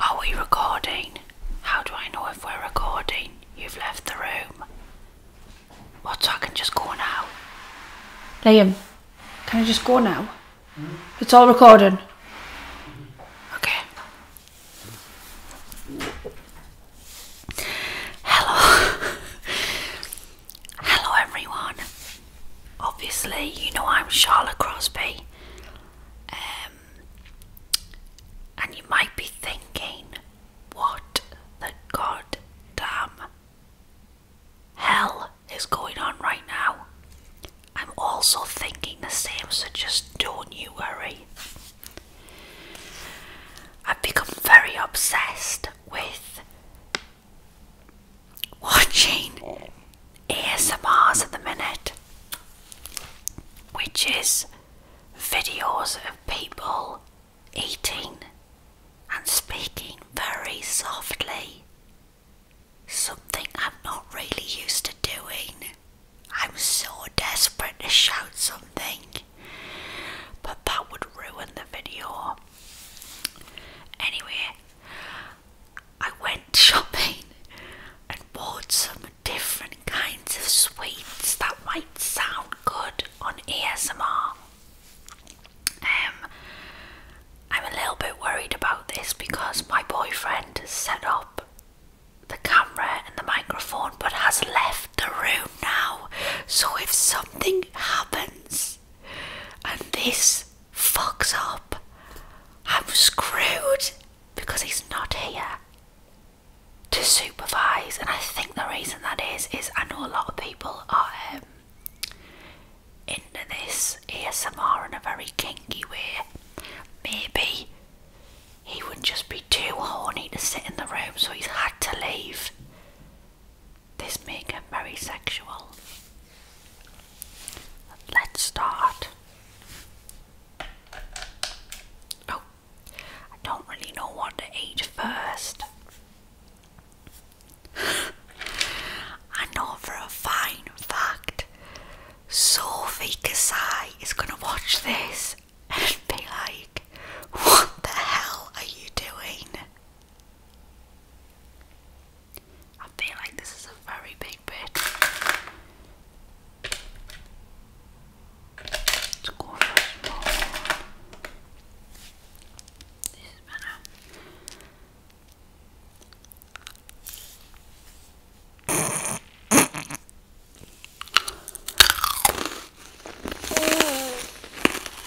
Are we recording? How do I know if we're recording? You've left the room. What, I can just go now? Liam, can I just go now? It's all recorded. Okay. Hello. Hello, everyone. Obviously, you know I'm Charlotte Crosby, um, and you might be thinking, what the goddamn hell is going on right now? I'm also thinking the same, so just don't you worry. I've become very obsessed with watching ASMRs at the minute, which is videos of people eating and speaking very softly. Something I'm not really used to doing. I'm so desperate to shout something, but that would ruin the video. Anyway, I went shopping and bought some different kinds of sweets that might sound good on ASMR. Um, I'm a little bit worried about this because my boyfriend has set up the camera and the microphone but has left the room now. So if something happens, and this fucks up, I'm screwed because he's not here to supervise. And I think the reason that is is I know a lot of people are um, into this ASMR in a very kinky way. Maybe he would just be too horny to sit in the room, so he's had to leave. This may get very sexual. Let's start. Oh, I don't really know what to eat first. I know for a fine fact Sophie Kasai is going to watch this and be like, What the hell are you doing? I feel like this is a very big bit. Let's This is better.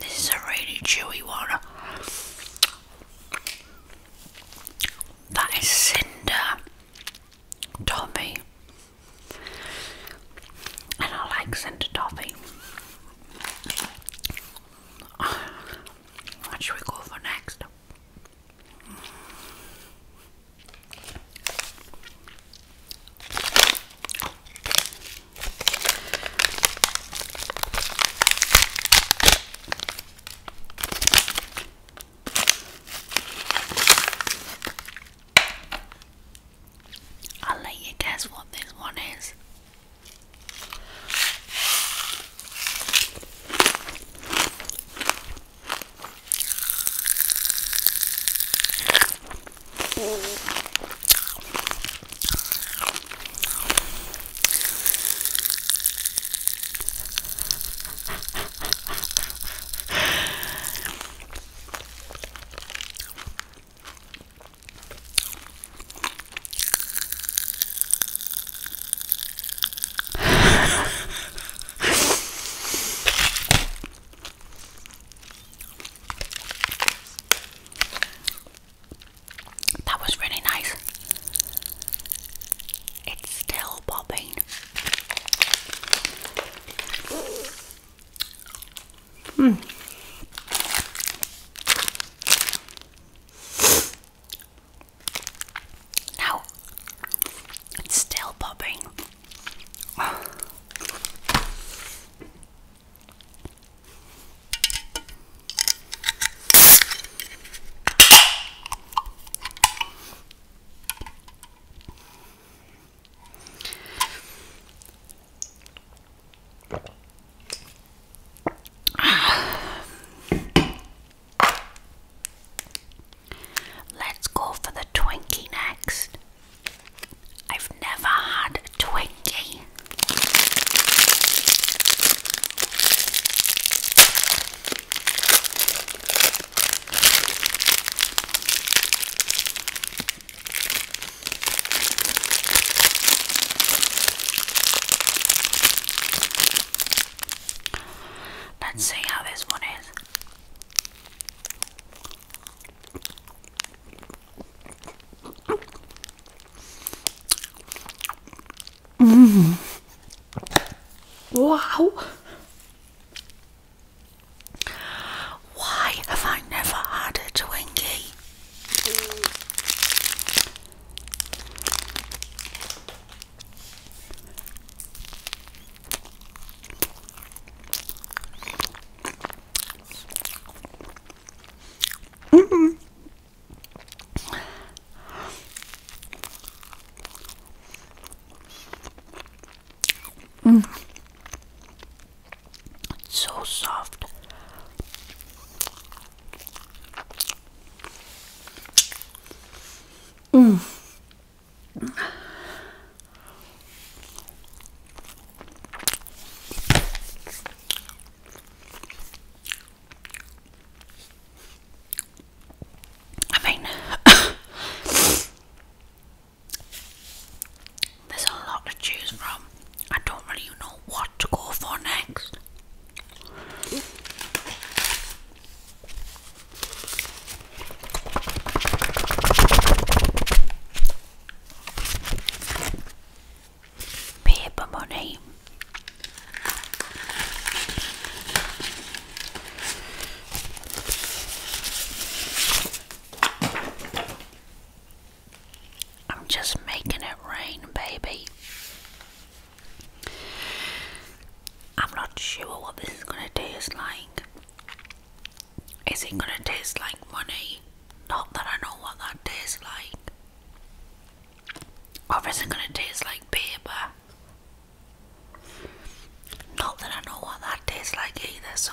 This is a really chewy one. That is Cinder Tommy, and I like Cinder Toffee. What should we go for next? I'll let you guess what this one is. that was really nice. It's still popping. Now hmm. it's still popping. Let's go for the Twinkie next. I've never had Twinkie. Let's see how this one is. Mm. Wow. Why have I never had a Twinkie? Mm -mm. It's so soft. Mm. I mean, there's a lot to choose from. I don't really know what to go for next. Paper money. I'm just making it rain, baby. I'm not sure what this is gonna taste like. Is it gonna taste like money? Not that I know what that tastes like. Or is it gonna taste like paper? Not that I know what that tastes like either, so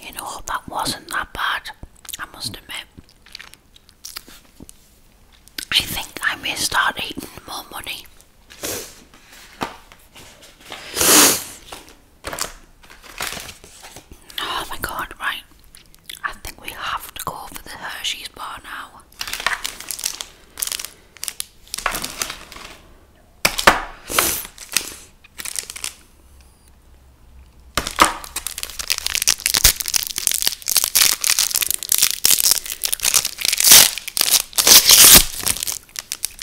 You know, that wasn't that bad, I must admit. I think I may start eating more money. Oh my god, right. I think we have to go for the Hershey's bar now.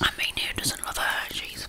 I mean, who doesn't love Hershey's?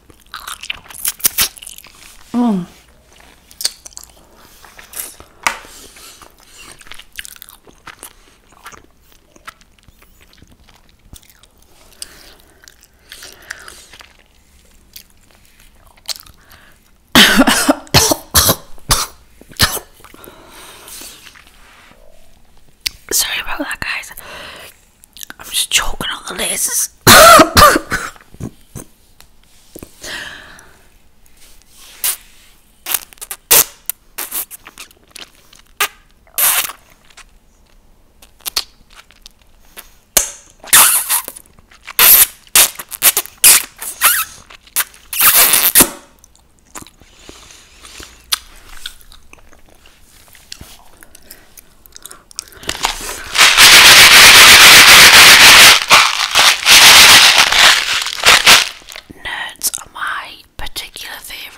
Mm. Sorry about that, guys. I'm just choking on the lasers. Nerds are my particular favourite.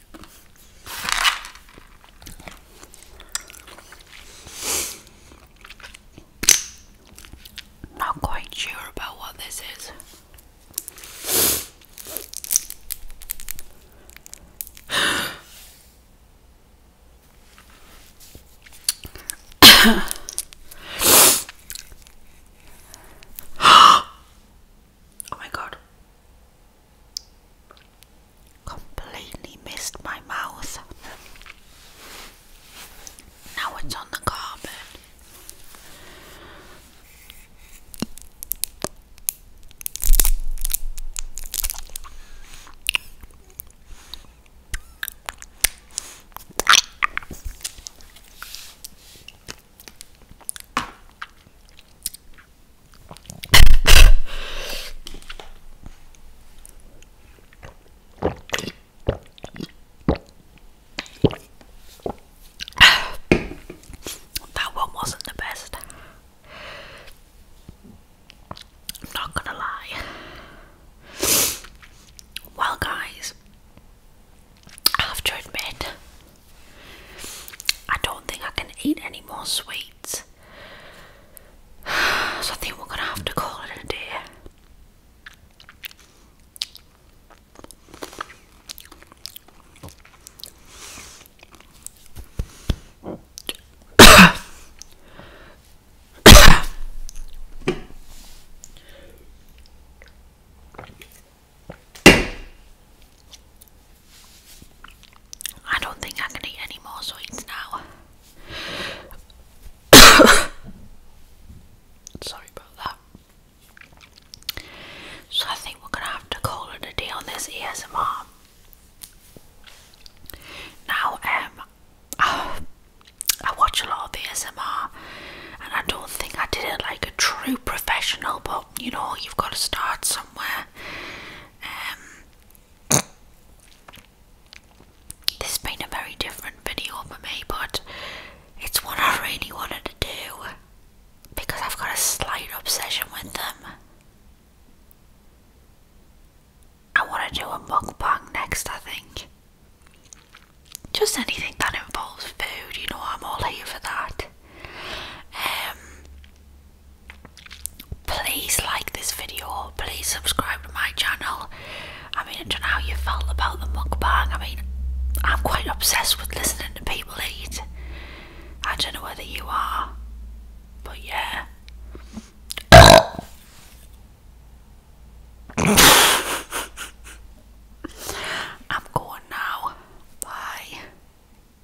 Not quite sure about what this is. oh my god. Completely missed my mouth. Now it's on the carpet that one wasn't the best. I'm not gonna lie. Well, guys, I have to admit, I don't think I can eat any more sweet. So I think we're gonna have to call it a day. I don't think I can eat any more sweets now. Sorry about that. So I think we're gonna have to call it a day on this ASMR. Now, um, I watch a lot of ASMR, and I don't think I did it like a true professional, but you know, you've got to start somewhere. Um, this has been a very different video for me, but it's one I really wanted to do because I've got a slight obsession with them. I want to do a mukbang next, I think. Just anything that involves food, you know, I'm all here for that. Um, Please like this video. Please subscribe to my channel. I mean, I don't know how you felt about the mukbang. I mean, I'm quite obsessed with listening to people eat. I don't know whether you are, but yeah. I'm going now. Bye.